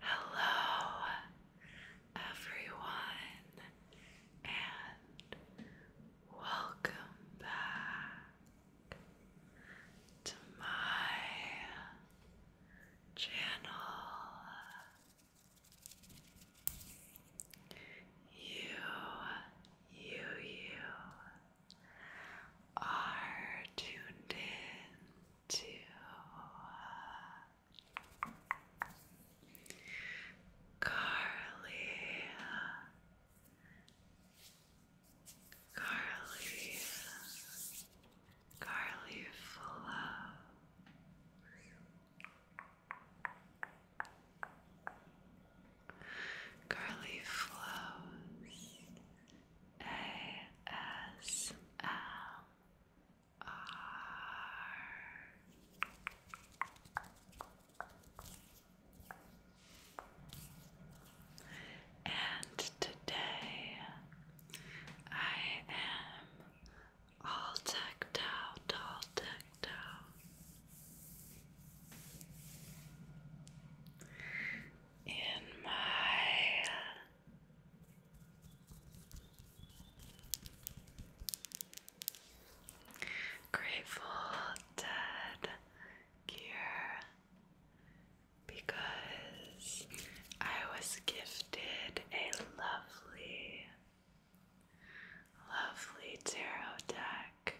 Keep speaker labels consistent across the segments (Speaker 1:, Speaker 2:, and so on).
Speaker 1: Hello, everyone, and welcome back to my channel. You, you, you are tuned in to uh, Carly. Carly, Carly Flow, Curly Flows ASMR. And today I am all decked out, all decked out in my Grateful Dead gear because I was gifted a lovely Lovely tarot deck.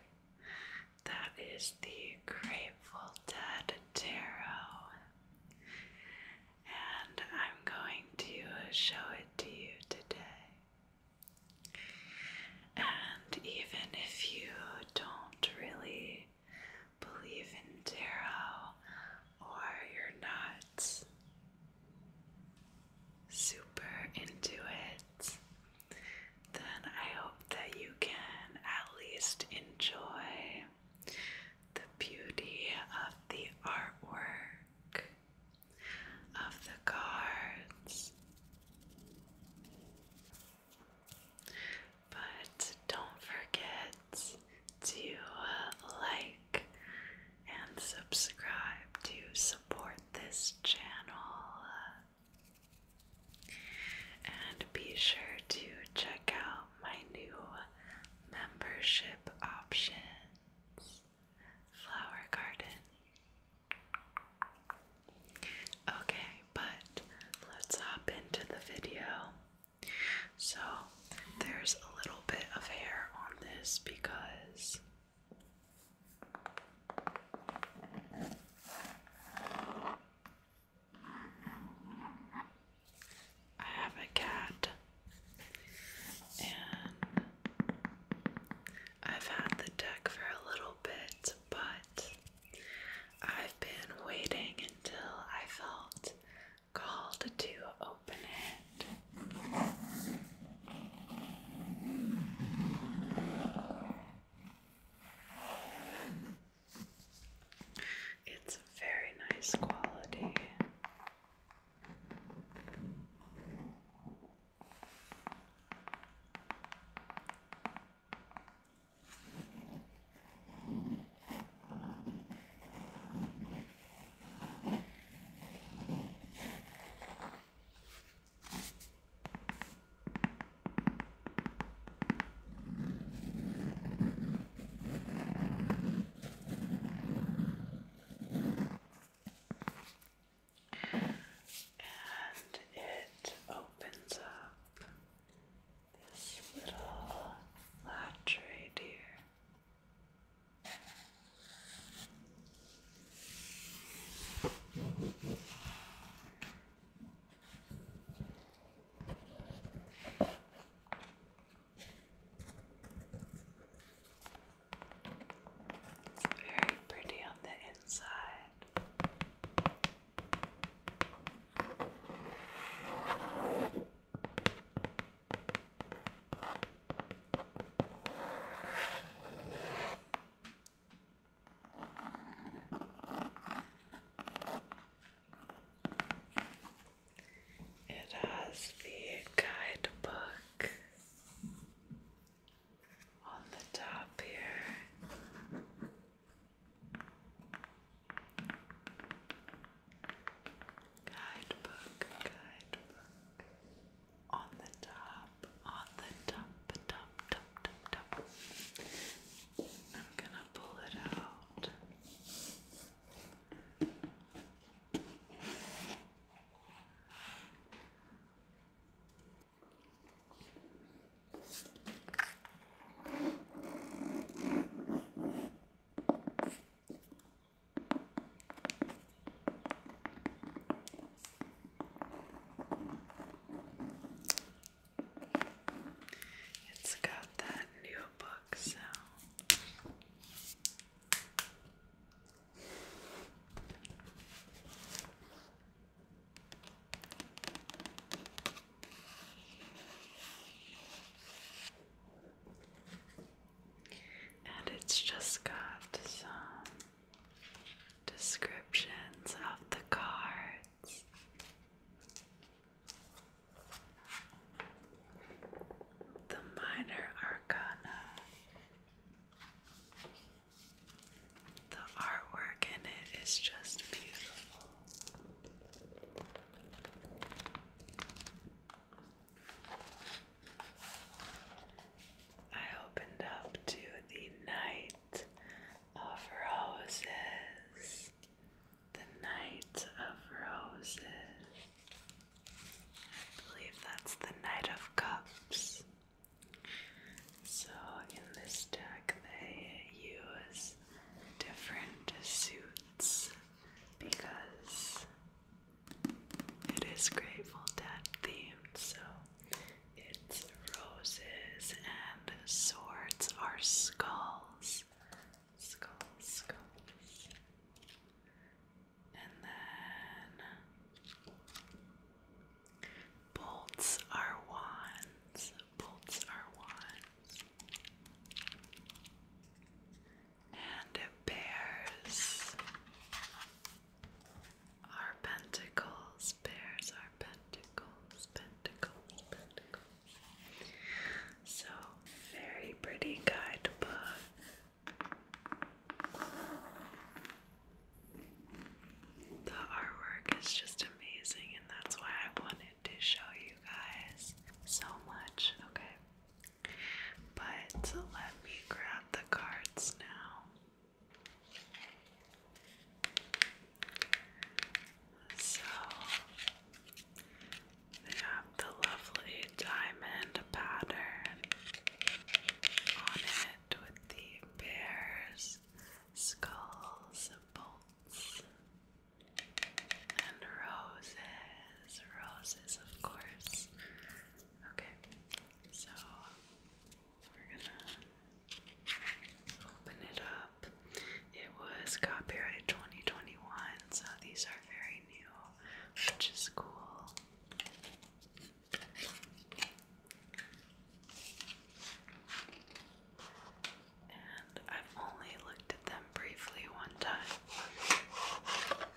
Speaker 1: That is the Grateful Dead Tarot. And I'm going to show it to you today. And even if you don't really believe in tarot or you're not super into it, then I hope that you can at least enjoy the beauty of the artwork of the cards. But don't forget to like and subscribe to support this channel. And be sure to check out my new membership options Flower Garden. Okay, but let's hop into the video. So, there's a little bit of hair on this because I have a cat, and I've had the deck for a little bit, but I've been waiting until I felt called to it's a very nice quality. And it opens up this little flat tray here. Very pretty on the inside. It has the guidebook on the top here. Guidebook, guidebook on the top, on the top, top, top, top, I'm gonna pull it out. It's got that new book so. And it's just got some descriptions of the cards. The minor arcana. The artwork in it is just beautiful. I opened up to the night of roses. The night of roses. I believe that's the Knight of Cups. So, in this deck, they use different suits because it is Grateful Dead themed, so its roses and swords are skulls. Skulls, skulls. And then bolts are wands. Bolts are wands and it bears our pentacles, bears our pentacles, pentacles, pentacles. So, very pretty guidebook. The artwork is just amazing, and that's why I wanted to show you guys so much. Okay, but let me grab the cards now. So they have the lovely diamond pattern on it with the bears, skulls, bolts, and roses, roses, of course, Okay, so we're gonna open it up. It was copyright 2021, so these are very new, which is cool. And I've only looked at them briefly one time.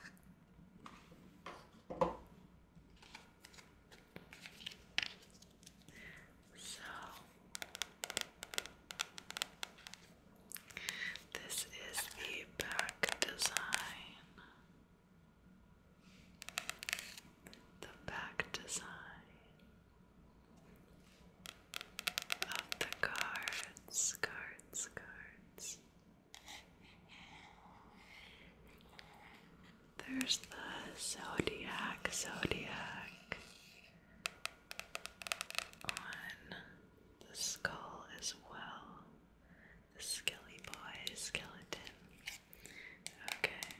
Speaker 1: So, this is the back design. The back design of the cards, cards, cards. There's the zodiac, zodiac on the skull as well. The Skelly Boy skeleton. Okay.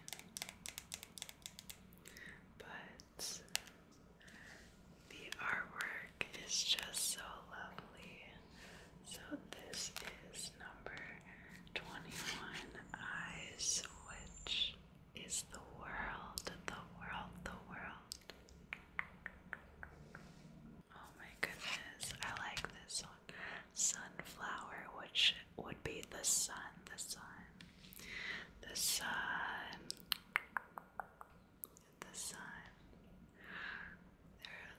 Speaker 1: But the artwork is just so lovely. So, this is number 21 Eyes, which is the world, the world, the world. Oh my goodness, I like this one. Sunflower, which would be the sun, the sun, the sun the sun.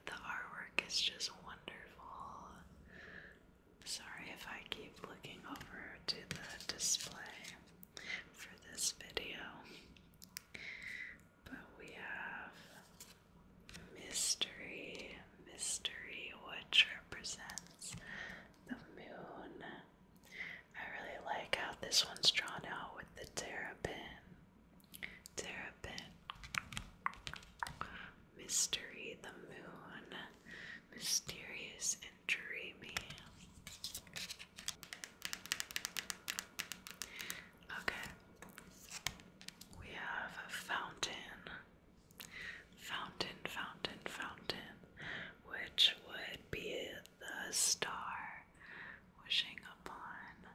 Speaker 1: The artwork is just wonderful. Sorry if I keep looking over to the display for this video. But we have mystery, mystery, which represents the moon. I really like how this one's drawn out with the terrapin Terrapin, Mystery, the Moon, Mysterious and Dreamy. Okay, we have a fountain. Fountain, fountain, fountain, which would be the star wishing upon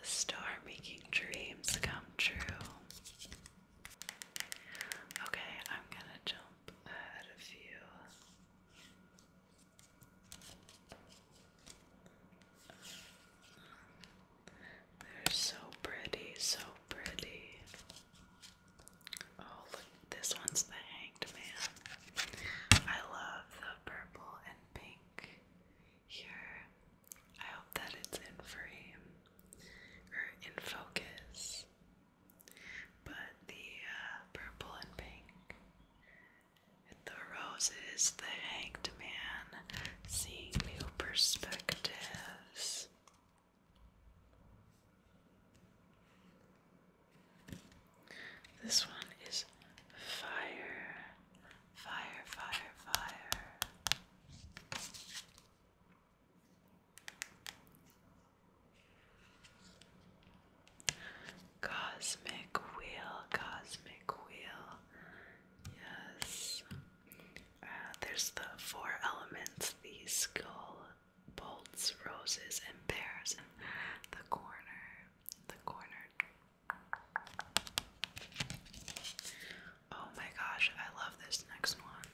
Speaker 1: the star making dreams come true. Okay, I'm gonna jump ahead of you. They're so pretty, so pretty. Oh, look, this one's the hanged man. I love the purple and pink here. I hope that it's in frame or in focus. But the uh, purple and pink, the roses, the hanged man, seeing new perspectives. This one is fire, fire, fire, fire. Cosmic wheel, cosmic wheel. Yes. Uh, there's the four elements the skull, bolts, roses, and bears. the corner, the corner Oh my gosh, I love this next one.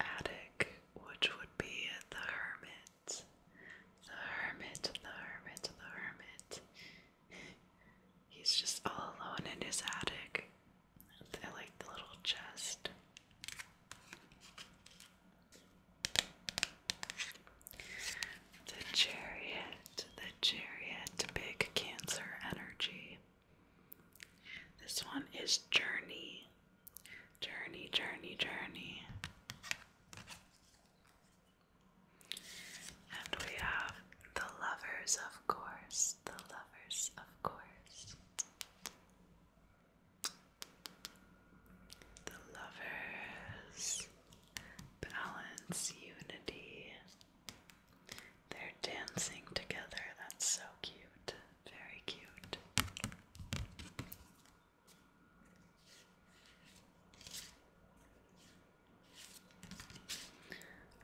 Speaker 1: Attic, which would be the hermit. The hermit, the hermit, the hermit. He's just all alone in his attic. I like the little chest. The Chariot, the Chariot, big Cancer energy. This one is Journey. Journey, journey, journey. And we have the lovers, of course. The lovers, of course. The lovers balance unity. They're dancing together. That's so cute. Very cute.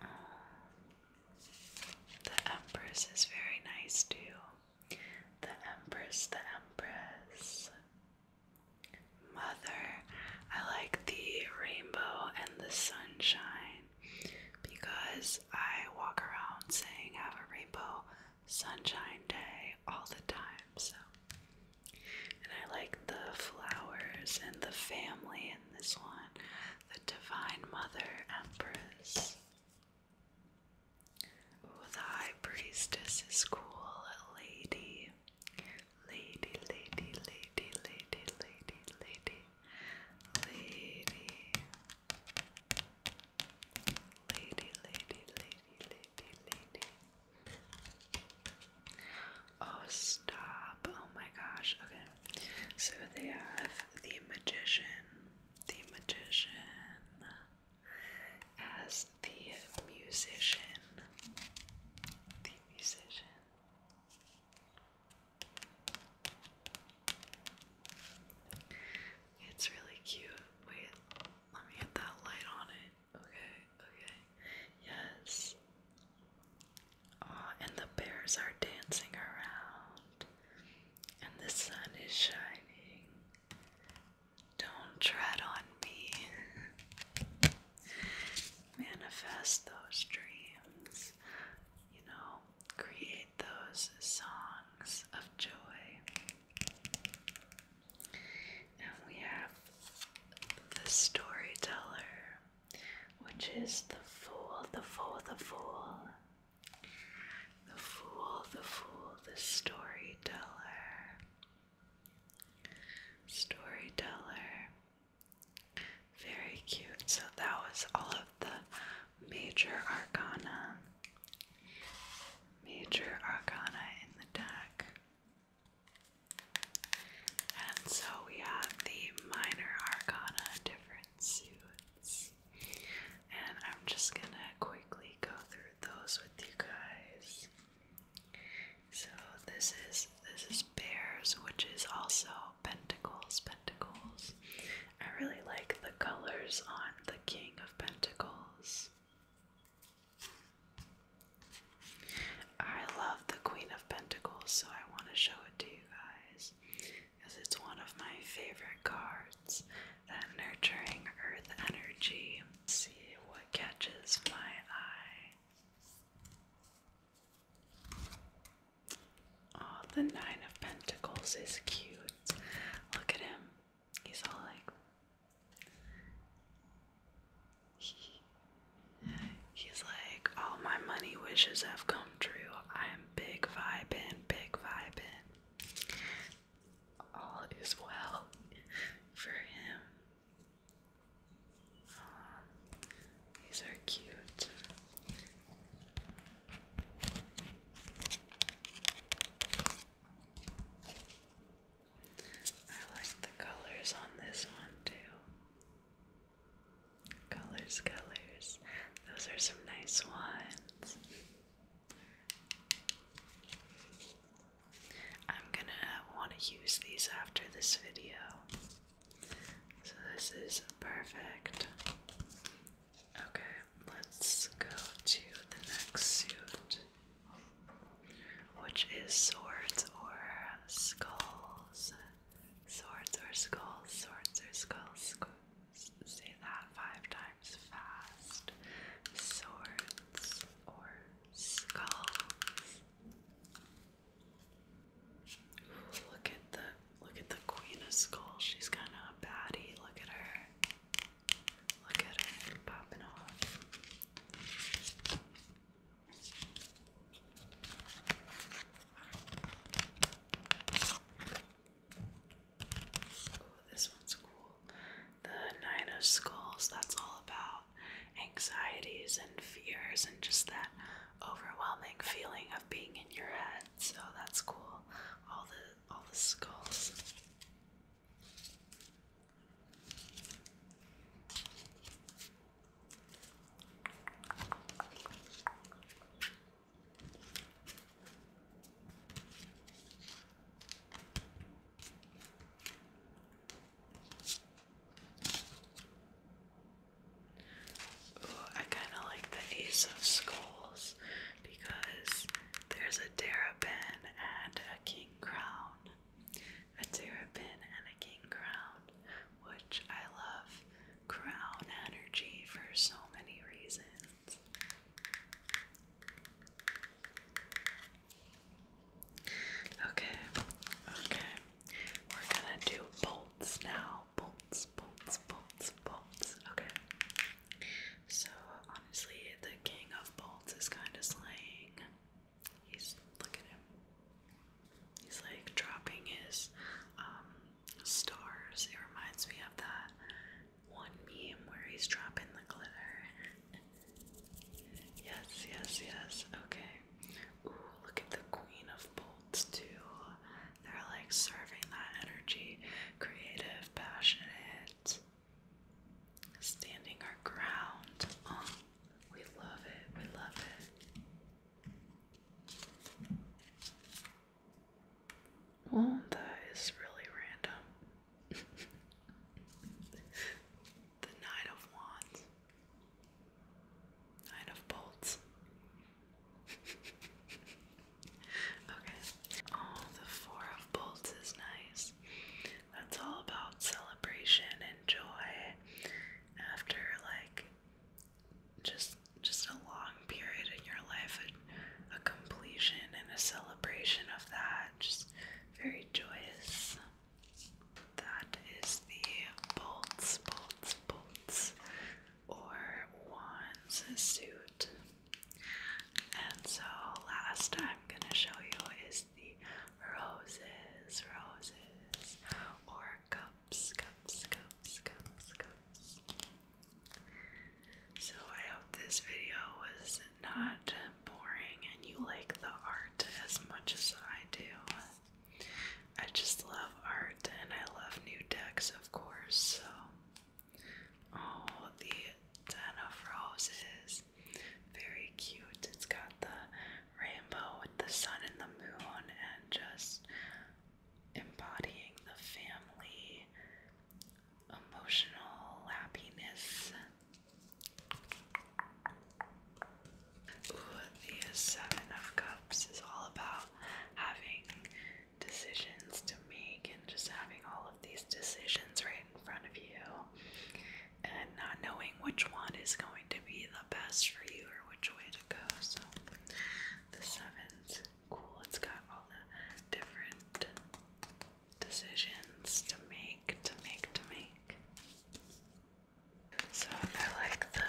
Speaker 1: Uh, the Empress is very nice too the Empress, the Empress, Mother. I like the rainbow and the sunshine because I walk around saying have a rainbow sunshine day all the time. So, and I like the flowers and the family in this one, the Divine Mother Empress. Ooh, the High Priestess is cool, lady. Lady, lady, lady, lady, lady, lady, lady, lady, lady, lady, lady, lady. Oh, stop! Oh my gosh. Okay, so they have the magician, the magician, as the musician. The musician. It's really cute. Wait, let me get that light on it. Okay, okay. Yes. Oh, and the bears are dancing around and the sun is shining. Don't tread on me. Manifest those dreams, you know, create those songs of joy. And we have the storyteller, which is the fool, the fool, the fool. The Fool, the Fool, the Storyteller. Storyteller. Very cute. So that was all of the major arcana. Major arcana in the deck. And so we have the minor arcana different suits. And I'm just gonna quickly go through those with you guys. So this is this is bears, which is also pentacles, pentacles. I really like the colors on the King of Pentacles. I love the Queen of Pentacles, so I want to show it to you guys because it's one of my favorite cards. That nurturing earth energy. see what catches my eye. Oh, the Nine of Pentacles is cute. Look at him. He's all like. he's like, all my money wishes have come true. I'm big vibin', big vibin' all is well for him. Um, these are cute. I like the colors on this one too. Colors, colors. Those are some nice ones. I'm gonna want to use these after this video. So, this is perfect. Okay, let's go to the next suit, which is swords or skulls. Swords or skulls, swords or skulls, say that five times fast. Swords or skulls. Look at the look at the Queen of Skulls. She's kind of a baddie. Look at her. Look at her popping off this one's cool. The Nine of Skulls, that's all about anxieties and fears and just that overwhelming feeling of being in your head. So that's cool. All the all the skulls. Ooh, I kind of like the Ace of Skulls because there's a pin and a King Crown. A pin and a King Crown, which I love crown energy for so many reasons. Okay, okay. We're gonna do bolts now. Bolts, bolts, bolts, bolts. Okay. So, honestly, the king of bolts is kind of slaying. He's, look at him. He's like dropping his um, stars. It reminds me of that one meme where he's dropping the glitter. yes, yes, yes. Okay. Ooh, look at the Queen of Bolts too. They're like serving that energy, creative, passionate, standing our ground. Oh, we love it. We love it. Well, that is really random. the Knight of Wands. Nine of bolts. okay. Oh, the four of bolts is nice. That's all about celebration and joy after like just just a long period in your life, a, completion and a celebration of that, just very joyous. That is the bolts, bolts, bolts, or wands suit. And so, last I'm gonna show you is the roses, roses, or cups, cups, cups. So I hope this video was not boring and you like the art as much as I do. I just love art and I love new decks, of course. So, oh, the Ten of Roses. Very cute. It's got the rainbow with the sun and the moon and just embodying the family emotional happiness. Ooh, the Seven of Cups is all about having decisions to make and just having all of these decisions right in front of you and not knowing which one is going to be the best for you or which way to go. So the sevens cool. It's got all the different decisions to make, to make, to make. So I like the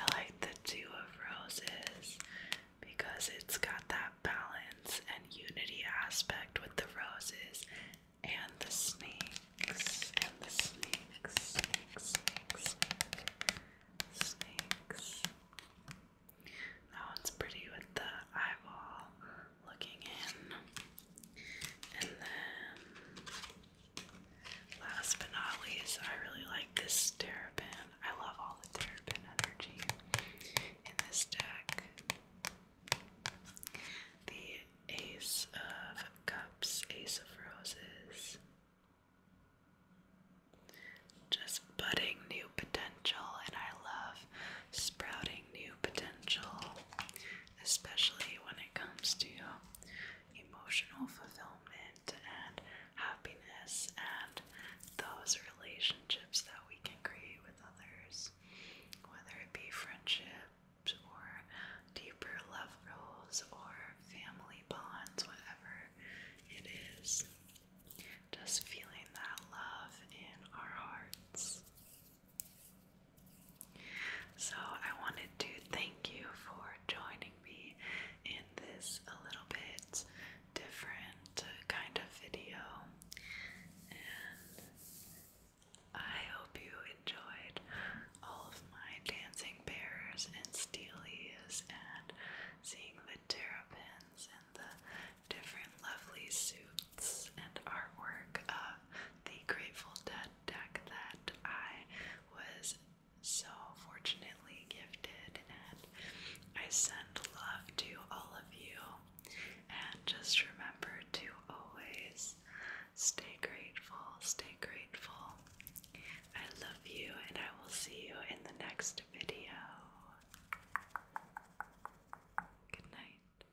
Speaker 1: I like the two of roses because it's got that balance and unity aspect with the roses and the snakes and the snakes, snakes, snakes, Oh, that one's pretty with the eyeball looking in. And then, last but not least, I really like this terrapin. I love all the terrapin energy in this deck. The Ace of Cups, Ace of Roses, just budding new potential, and I love sprouting new potential, especially when it comes to emotional fulfillment and happiness and those relationships that we can create with others, whether it be friendships or deeper love roles or family bonds, whatever it is. Just feeling that love in our hearts. So, I wanted to thank you for joining me in this a little bit different kind of video. And I hope you enjoyed all of my dancing bears and steelies and seeing the terrapins and the different lovely suits and artwork of the Grateful Dead deck that I was so fortunately gifted, and I send love to all of you. And just remember to always stay grateful, stay grateful, I love you, and I will see you in the next video. Good night.